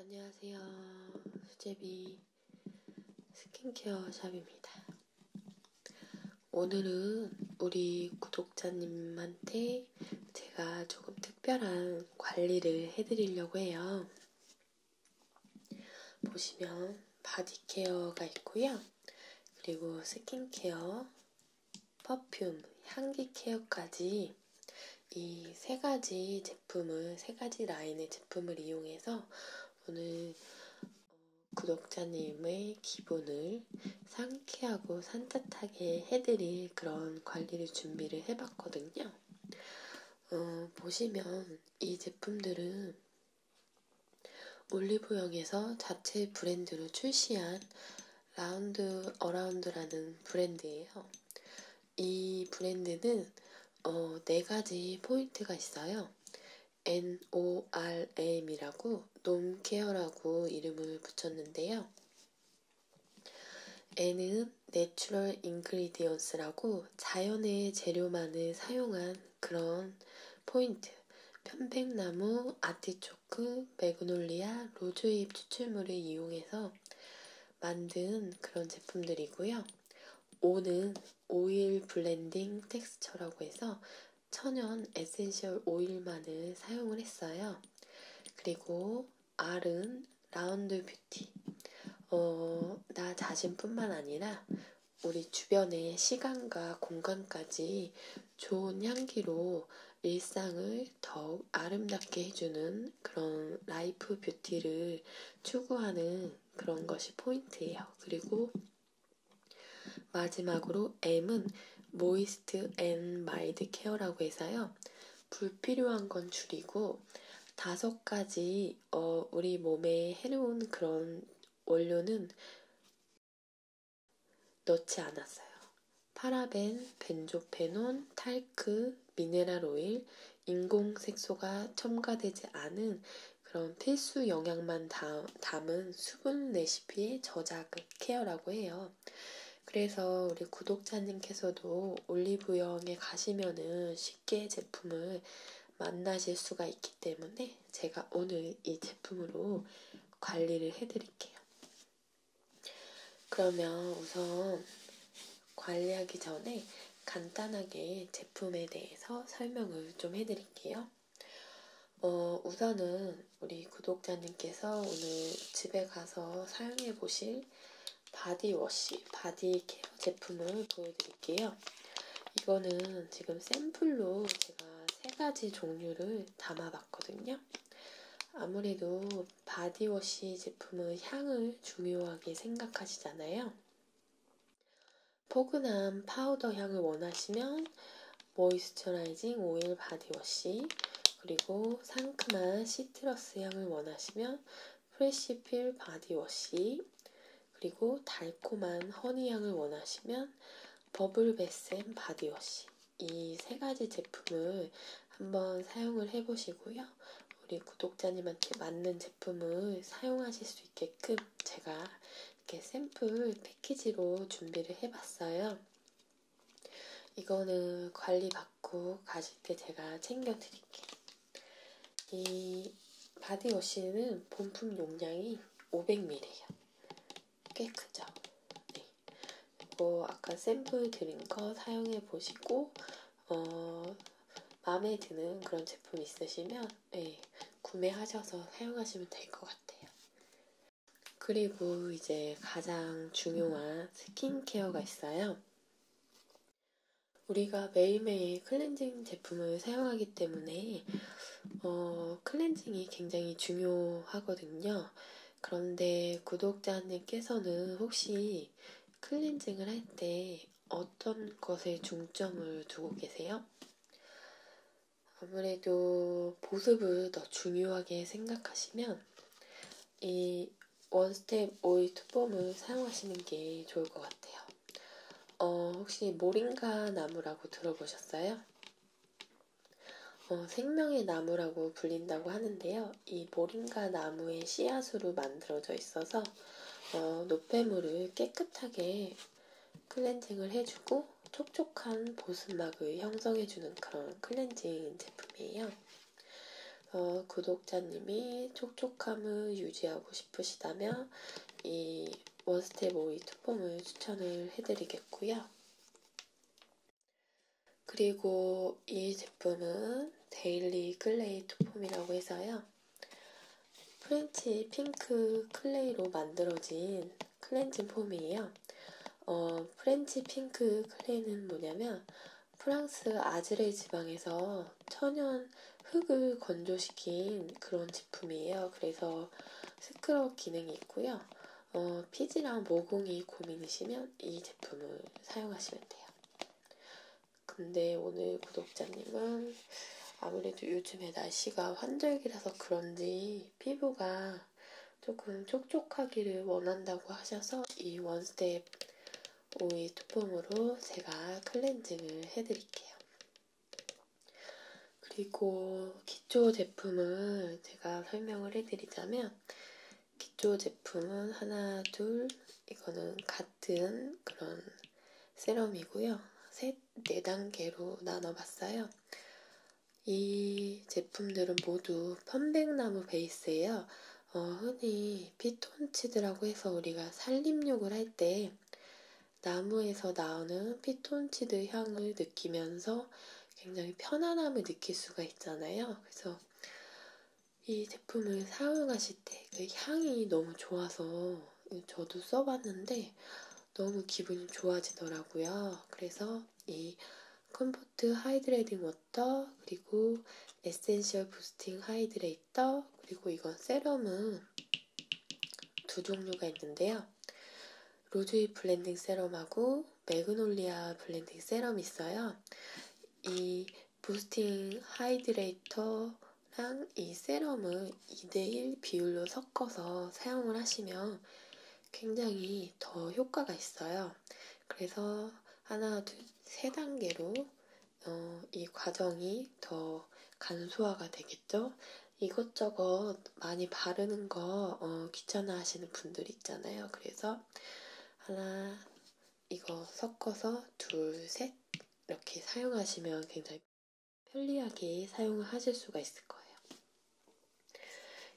안녕하세요. 수제비 스킨케어 샵입니다. 오늘은 우리 구독자님한테 제가 조금 특별한 관리를 해드리려고 해요. 보시면 바디케어가 있고요. 그리고 스킨케어, 퍼퓸, 향기케어까지 이 세 가지 제품을, 세 가지 라인의 제품을 이용해서 오늘 구독자님의 기분을 상쾌하고 산뜻하게 해드릴 그런 관리를 준비를 해봤거든요. 어, 보시면 이 제품들은 올리브영에서 자체 브랜드로 출시한 라운드 어라운드라는 브랜드예요. 이 브랜드는 어, 네 가지 포인트가 있어요. NORM이라고 놈케어라고 이름을 붙였는데요. N은 내추럴 인그리디언스라고 전부 자연의 재료만을 사용한 그런 포인트. 편백나무, 아티초크, 매그놀리아, 로즈잎 추출물을 이용해서 만든 그런 제품들이고요. 오는 오일 블렌딩 텍스처라고 해서 천연 에센셜 오일만을 사용을 했어요. 그리고 R은 라운드 뷰 뷰티. 어, 나 자신뿐만 아니라 우리 주변의 시간과 공간까지 좋은 향기로 일상을 더욱 아름답게 해주는 그런 라이프 뷰티를 추구하는 그런 것이 포인트예요. 그리고 마지막으로 M은 모이스트 앤 마일드 케어라고 해서요. 불필요한 건 줄이고 다섯 가지 이 어, 우리 몸에 해로운 그런 원료는 넣지 않았어요. 파라벤, 벤조페논, 탈크, 미네랄 오일, 인공 색소가 첨가되지 않은 그런 필수 영양만 담은 수분 레시피의 저작 케어라고 해요. 그래서 우리 구독자님께서도 올리브영에 가시면은 쉽게 제품을 만나실 수가 있기 때문에 제가 오늘 이 제품으로 관리를 해드릴게요. 그러면 우선 관리하기 전에 간단하게 제품에 대해서 설명을 좀 해드릴게요. 어, 우선은 우리 구독자님께서 오늘 집에 가서 사용해보실 바디워시, 바디케어 제품을 보여드릴게요. 이거는 지금 샘플로 제가 세 가지 종류를 담아봤거든요. 아무래도 바디워시 제품은 향을 중요하게 생각하시잖아요. 포근한 파우더 향을 원하시면 모이스처라이징 오일 바디워시 그리고 상큼한 시트러스 향을 원하시면 프레시필 바디워시 그리고 달콤한 허니향을 원하시면 버블베센 바디워시 이 세 가지 제품을 한번 사용을 해보시고요. 우리 구독자님한테 맞는 제품을 사용하실 수 있게끔 제가 이렇게 샘플 패키지로 준비를 해봤어요. 이거는 관리받고 가실 때 제가 챙겨드릴게요. 이 바디워시는 본품 용량이 500ml예요. 꽤 크죠? 네. 이거 아까 샘플 드린 거 사용해 보시고 어, 마음에 드는 그런 제품 있으시면 네, 구매하셔서 사용하시면 될 것 같아요. 그리고 이제 가장 중요한 스킨케어가 있어요. 우리가 매일매일 클렌징 제품을 사용하기 때문에 어, 클렌징이 굉장히 중요하거든요. 그런데 구독자님께서는 혹시 클렌징을 할 때 어떤 것에 중점을 두고 계세요? 아무래도 보습을 더 중요하게 생각하시면 이 원스텝 오일 투폼을 사용하시는 게 좋을 것 같아요. 어, 혹시 모링가 나무라고 들어보셨어요? 어, 생명의 나무라고 불린다고 하는데요. 이 모링가 나무의 씨앗으로 만들어져 있어서 어, 노폐물을 깨끗하게 클렌징을 해주고 촉촉한 보습막을 형성해주는 그런 클렌징 제품이에요. 어, 구독자님이 촉촉함을 유지하고 싶으시다면 이 원스텝 오이 투폼을 추천을 해드리겠고요. 그리고 이 제품은 데일리 클레이 투폼이라고 해서요. 프렌치 핑크 클레이로 만들어진 클렌징 폼이에요. 어, 프렌치 핑크 클레이는 뭐냐면 프랑스 아즈레 지방에서 천연 흙을 건조시킨 그런 제품이에요. 그래서 스크럽 기능이 있고요. 어, 피지랑 모공이 고민이시면 이 제품을 사용하시면 돼요. 근데 오늘 구독자님은 아무래도 요즘에 날씨가 환절기라서 그런지 피부가 조금 촉촉하기를 원한다고 하셔서 이 원스텝 오이 투폼으로 제가 클렌징을 해드릴게요. 그리고 기초 제품을 제가 설명을 해드리자면 기초 제품은 하나, 둘, 이거는 같은 그런 세럼이고요. 셋, 네 단계로 나눠봤어요. 이 제품들은 모두 편백나무 베이스예요. 어, 흔히 피톤치드라고 해서 우리가 살림욕을 할때 때문에 나무에서 나오는 피톤치드 향을 느끼면서 굉장히 편안함을 느낄 수가 있잖아요. 그래서 이 제품을 사용하실 때 그 향이 너무 좋아서 저도 써봤는데 너무 기분이 좋아지더라고요. 그래서 이 컴포트 하이드레이딩 워터 그리고 에센셜 부스팅 하이드레이터 그리고 이건 세럼은 세럼은 두 종류가 있는데요. 로즈잎 블렌딩 세럼하고 매그놀리아 블렌딩 세럼이 있어요. 이 부스팅 하이드레이터랑 이 세럼을 2대1 비율로 섞어서 사용을 하시면 굉장히 더 효과가 있어요. 그래서 하나, 둘, 세 단계로 어, 이 과정이 더 간소화가 되겠죠? 이것저것 많이 바르는 거 어, 귀찮아 하시는 분들 있잖아요. 그래서 하나, 이거 섞어서 둘, 셋 이렇게 사용하시면 굉장히 편리하게 사용을 하실 수가 있을 거예요.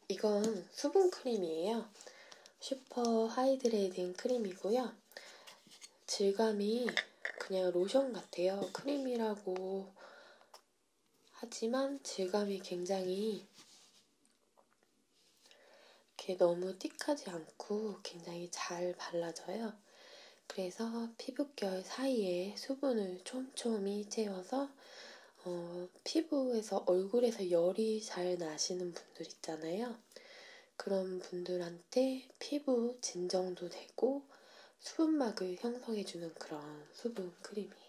이건 수분 크림이에요. 슈퍼 하이드레이딩 크림이고요. 질감이 그냥 로션 같아요. 크림이라고 하지만 질감이 굉장히 이렇게 너무 띡하지 않고 굉장히 잘 발라져요. 그래서 피부결 사이에 수분을 촘촘히 채워서 어, 피부에서 얼굴에서 열이 잘 나시는 분들 있잖아요. 있으니까 그런 분들한테 피부 진정도 되고 수분막을 형성해주는 그런 수분 크림이에요.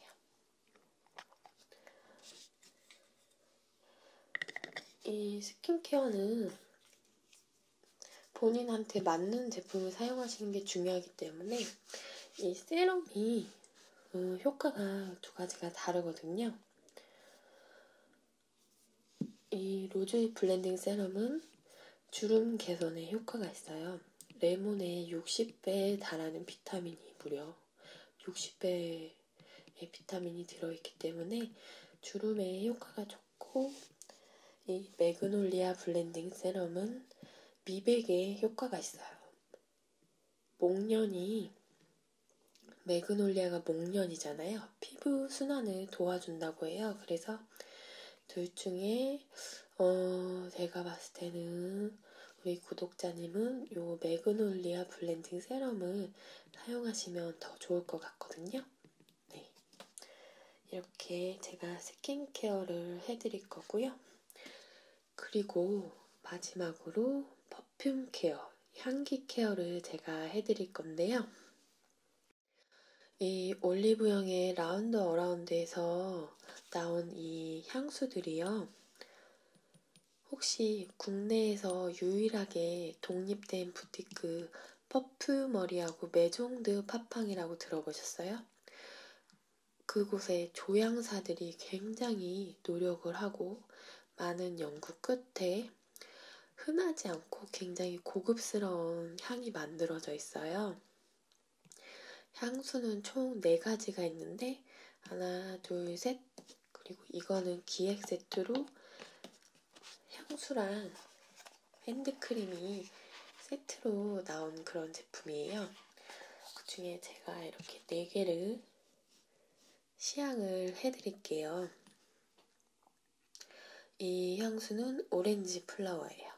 이 스킨케어는 본인한테 맞는 제품을 사용하시는 게 중요하기 때문에 이 세럼이 음, 효과가 두 가지가 다르거든요. 이 로즈잎 블렌딩 세럼은 주름 개선에 효과가 있어요. 레몬의 60배에 달하는 비타민이 무려 60배의 비타민이 들어있기 때문에 주름에 효과가 좋고 이 매그놀리아 블렌딩 세럼은 미백에 효과가 있어요. 목련이 매그놀리아가 목련이잖아요. 가 피부 순환을 도와준다고 해요. 그래서 둘 중에 어 제가 봤을 때는 우리 구독자님은 요 매그놀리아 블렌딩 세럼을 사용하시면 더 좋을 것 같거든요. 네. 이렇게 제가 스킨케어를 해드릴 거고요. 그리고 마지막으로 퍼퓸 케어, 향기 케어를 제가 해드릴 건데요. 이 올리브영의 라운드 어라운드에서 나온 이 향수들이요. 혹시 국내에서 유일하게 독립된 부티크 퍼프머리하고 메종드 팝팡이라고 들어보셨어요? 그곳의 조향사들이 굉장히 노력을 하고 많은 연구 끝에 흔하지 않고 굉장히 고급스러운 향이 만들어져 있어요. 향수는 총 4가지가 있는데 하나, 둘, 셋 그리고 이거는 기획 세트로 향수랑 핸드크림이 세트로 나온 그런 제품이에요. 그 중에 제가 이렇게 4개를 시향을 해드릴게요. 이 향수는 오렌지 플라워예요.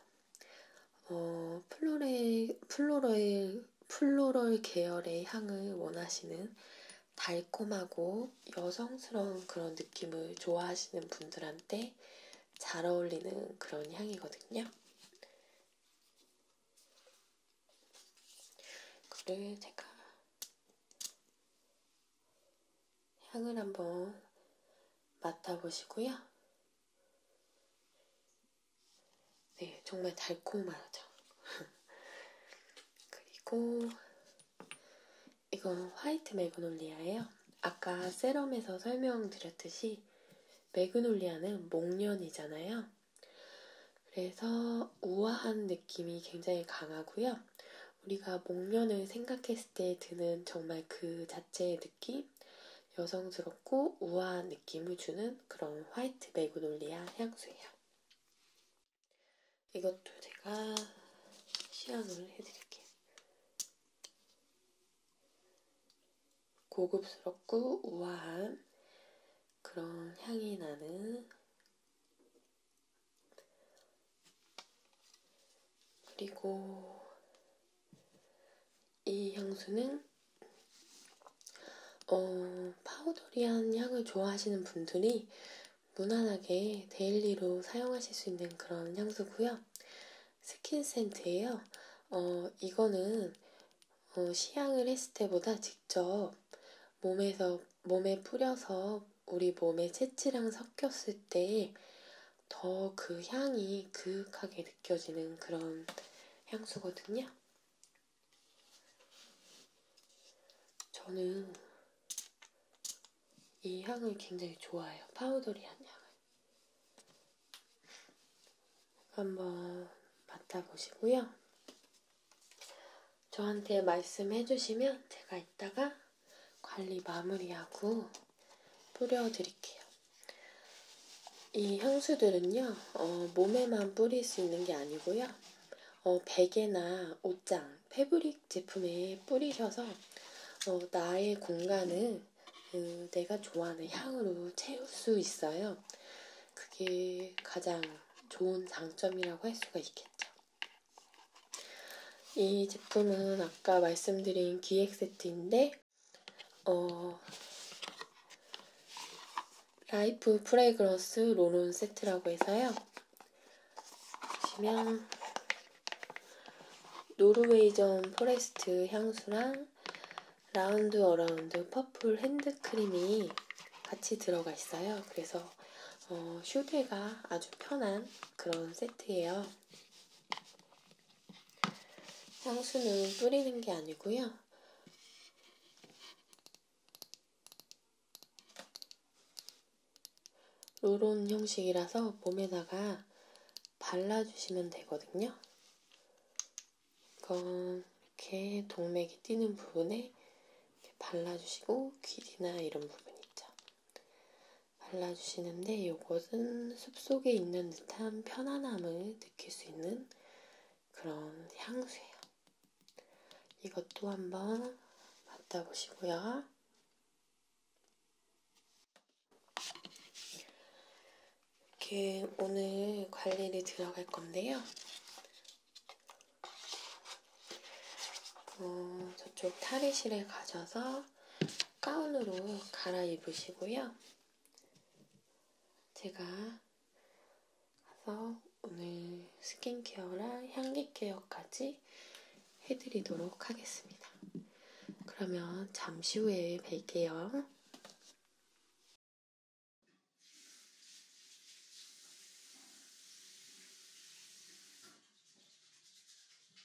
어, 플로레, 플로럴, 플로럴 계열의 향을 원하시는 달콤하고 여성스러운 그런 느낌을 좋아하시는 분들한테 잘 어울리는 그런 향이거든요. 그를 제가 향을 한번 맡아보시고요. 네, 정말 달콤하죠. 그리고 이건 화이트 매그놀리아예요. 아까 세럼에서 설명드렸듯이 매그놀리아는 목련이잖아요. 그래서 우아한 느낌이 굉장히 강하고요. 우리가 목련을 생각했을 생각했을 때 드는 정말 그 자체의 느낌, 여성스럽고 우아한 느낌을 주는 그런 화이트 메그놀리아 향수예요. 이것도 제가 시향을 해드릴게요. 고급스럽고 우아한 그런 향이 나는 그리고 이 향수는 어, 파우더리한 향을 좋아하시는 분들이 무난하게 데일리로 사용하실 수 있는 그런 향수고요. 스킨 센트예요. 어, 이거는 어, 시향을 했을 때보다 직접 몸에서 몸에 뿌려서 우리 몸의 채취랑 섞였을 때 더 그 향이 그윽하게 느껴지는 그런 향수거든요. 저는 이 향을 굉장히 좋아해요. 파우더리한 향을. 한번 맡아보시고요. 저한테 말씀해주시면 제가 이따가 관리 마무리하고 뿌려드릴게요. 이 향수들은요, 어, 몸에만 뿌릴 수 있는 게 아니고요, 어, 베개나 옷장, 패브릭 제품에 뿌리셔서 어, 나의 공간을 음, 내가 좋아하는 향으로 채울 수 있어요. 그게 가장 좋은 장점이라고 할 수가 있겠죠. 이 제품은 아까 말씀드린 기획 세트인데, 어, 라이프 프레그런스 롤온 세트라고 해서요. 보시면, 노르웨이전 포레스트 향수랑 라운드 어라운드 퍼플 핸드크림이 같이 들어가 있어요. 그래서 어, 휴대가 아주 편한 그런 세트예요. 향수는 뿌리는 게 아니고요. 로론 형식이라서 몸에다가 발라주시면 되거든요. 이건 이렇게 동맥이 뛰는 부분에 발라주시고 귀리나 이런 부분 있죠. 발라주시는데 이것은 숲속에 있는 듯한 편안함을 느낄 수 있는 그런 향수예요. 이것도 한번 맡아보시고요. 이렇게 오늘 관리를 들어갈 건데요. 어, 저쪽 탈의실에 가셔서 있어서 가운으로 갈아입으시고요. 제가 가서 오늘 스킨케어랑 향기 케어까지 해드리도록 하겠습니다. 그러면 잠시 후에 뵐게요.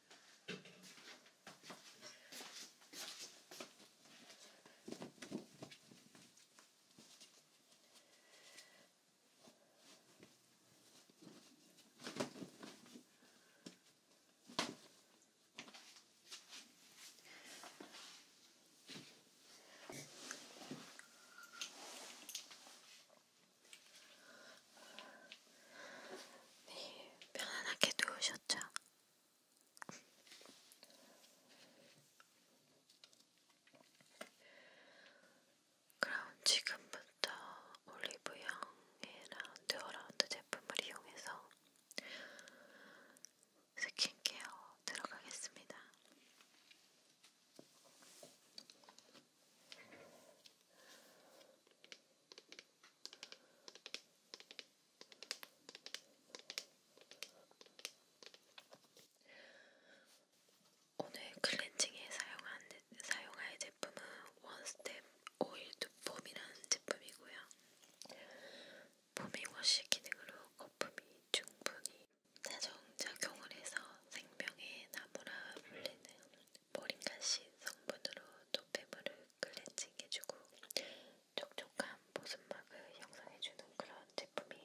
네, 편안하게 누우셨죠? 그럼 지금부터 올리브영의 라운드 어라운드 제품을 이용해서 스킨케어 들어가겠습니다. 오늘 클렌징에 사용한, 사용할 제품은 원스텝 오일 두폼이라는 제품이고요. 포밍워시 기능으로 거품이 충분히 자정작용을 해서 생명의 나무라 불리는 모링가시 성분으로 노폐물을 클렌징해주고 촉촉한 보습막을 형성해주는 그런 제품이에요.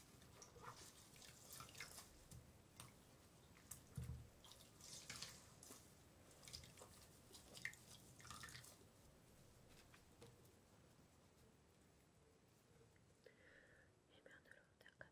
해변으로 음. 닦아드리겠습니다.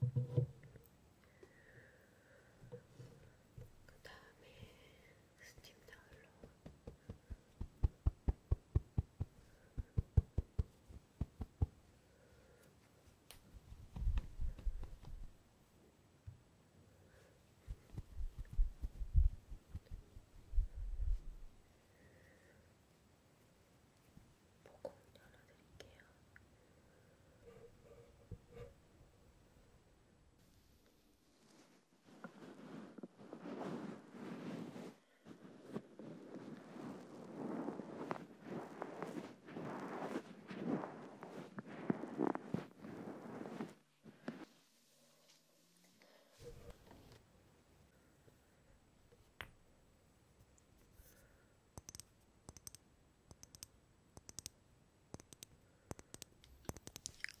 그 다음에 스팀 타올로 보고 열어드릴게요.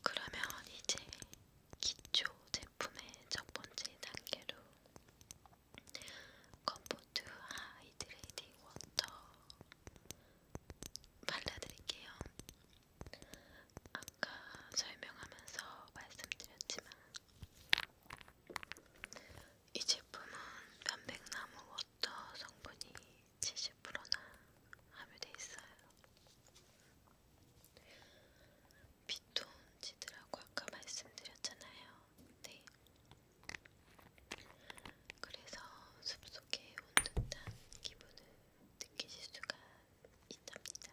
그러면 이제 기초 제품의 첫 번째 단계로 컴포트 하이드레이팅 워터 발라드릴게요. 아까 설명하면서 말씀드렸지만 이 제품은 변백나무 워터 성분이 70%나 함유되어 있어요. 피톤치드라고 아까 말씀드렸잖아요. 네. 그래서 숲속에 온 듯한 기분을 느끼실 수가 있답니다.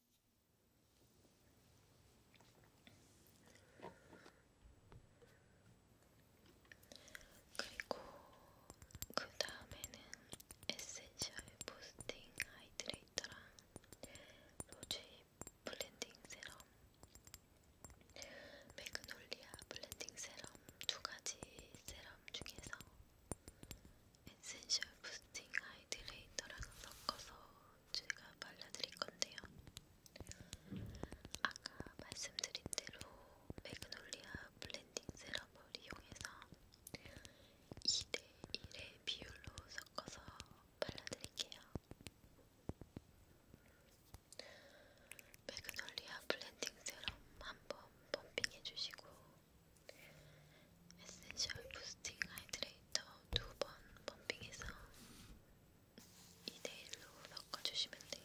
그리고 그 다음에는 에센셜 부스팅 하이드레이터랑 로즈 블렌딩 세럼, 매그놀리아 블렌딩 세럼 두 가지 세럼 중에서 에센셜 부스팅 하이드레이터랑 섞어서 제가 발라드릴 건데요. 아까 말씀드린 대로 매그놀리아 블렌딩 세럼을 이용해서 2대 1의 비율로 섞어서 발라드릴게요. 매그놀리아 블렌딩 세럼 한번 펌핑해주시고 에센셜 부스팅 하이드레이터 데이터 두번 펌핑해서 2대1로 섞어주시면 돼요.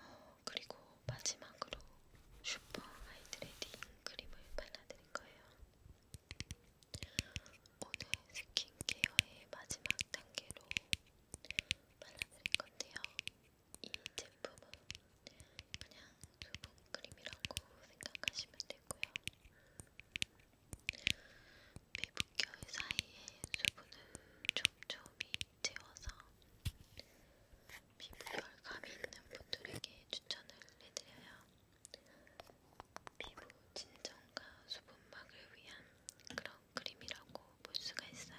어, 그리고 마지막으로 슈퍼 하이드레이팅 크림을 발라드릴 거예요. 오늘 스킨케어의 마지막 단계로 발라드릴 건데요. 이 제품은 그냥 수분 크림이라고 생각하시면 되고요. 피부결 사이에 수분을 촘촘히 채워서 피부결감이 있는 분들에게 추천을 해드려요. 피부 진정과 수분막을 위한 그런 그림이라고 볼 수가 있어요.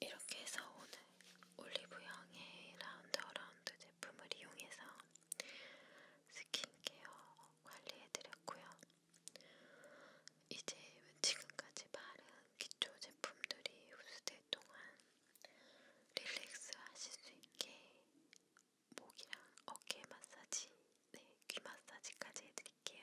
이렇게 해서 오늘 올리브영의 라운드 어라운드 제품을 이용해서 스킨케어 관리해드렸고요. 이제 지금까지 바른 기초 제품들이 흡수될 동안 릴렉스 하실 수 있게 목이랑 어깨 마사지, 네, 귀 마사지까지 해드릴게요.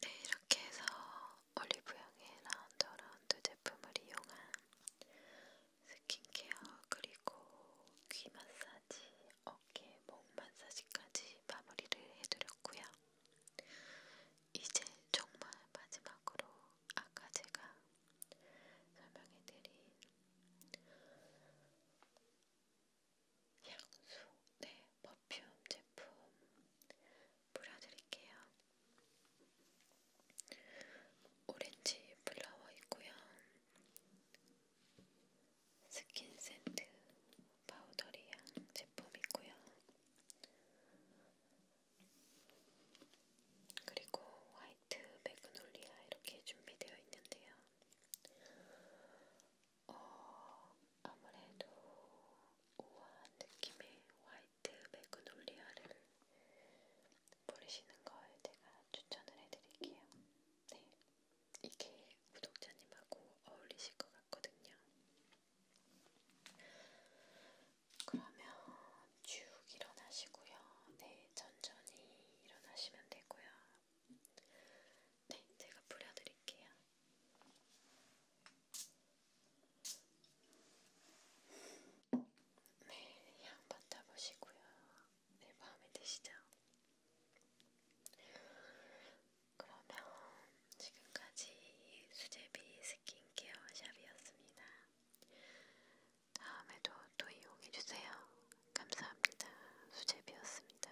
네, 이렇게 해서 올리브영의 라운드 라운드 제품을 이용한 스킨케어 그리고 귀 마사지, 어깨, 목 마사지까지 마무리를 해드렸고요. 이제 정말 마지막으로 아까 제가 설명해드린 향수, 네, 뭐 퍼퓸 제품 뿌려드릴게요. 오렌지 플라워 있고요. 스킨 센트 파우더리향 제품 있고요. 그리고 화이트 매그놀리아 이렇게 준비되어 있는데요. 어, 아무래도 우아한 느낌의 화이트 매그놀리아를 뿌리시는 걸 제가 추천을 해드릴게요. 네, 이게 구독자님하고 어울리실 것 같거든요. 그러면 쭉 일어나시고요. 네, 천천히 일어나시면 되고요. 네, 제가 뿌려드릴게요. 매일 네, 향 맡아보시고요. 네, 마음에 드시죠? 그러면 지금까지 수제비 스킨케어 샵이었습니다. 다음에도 또 이용해주세요. 감사합니다. 수제비였습니다.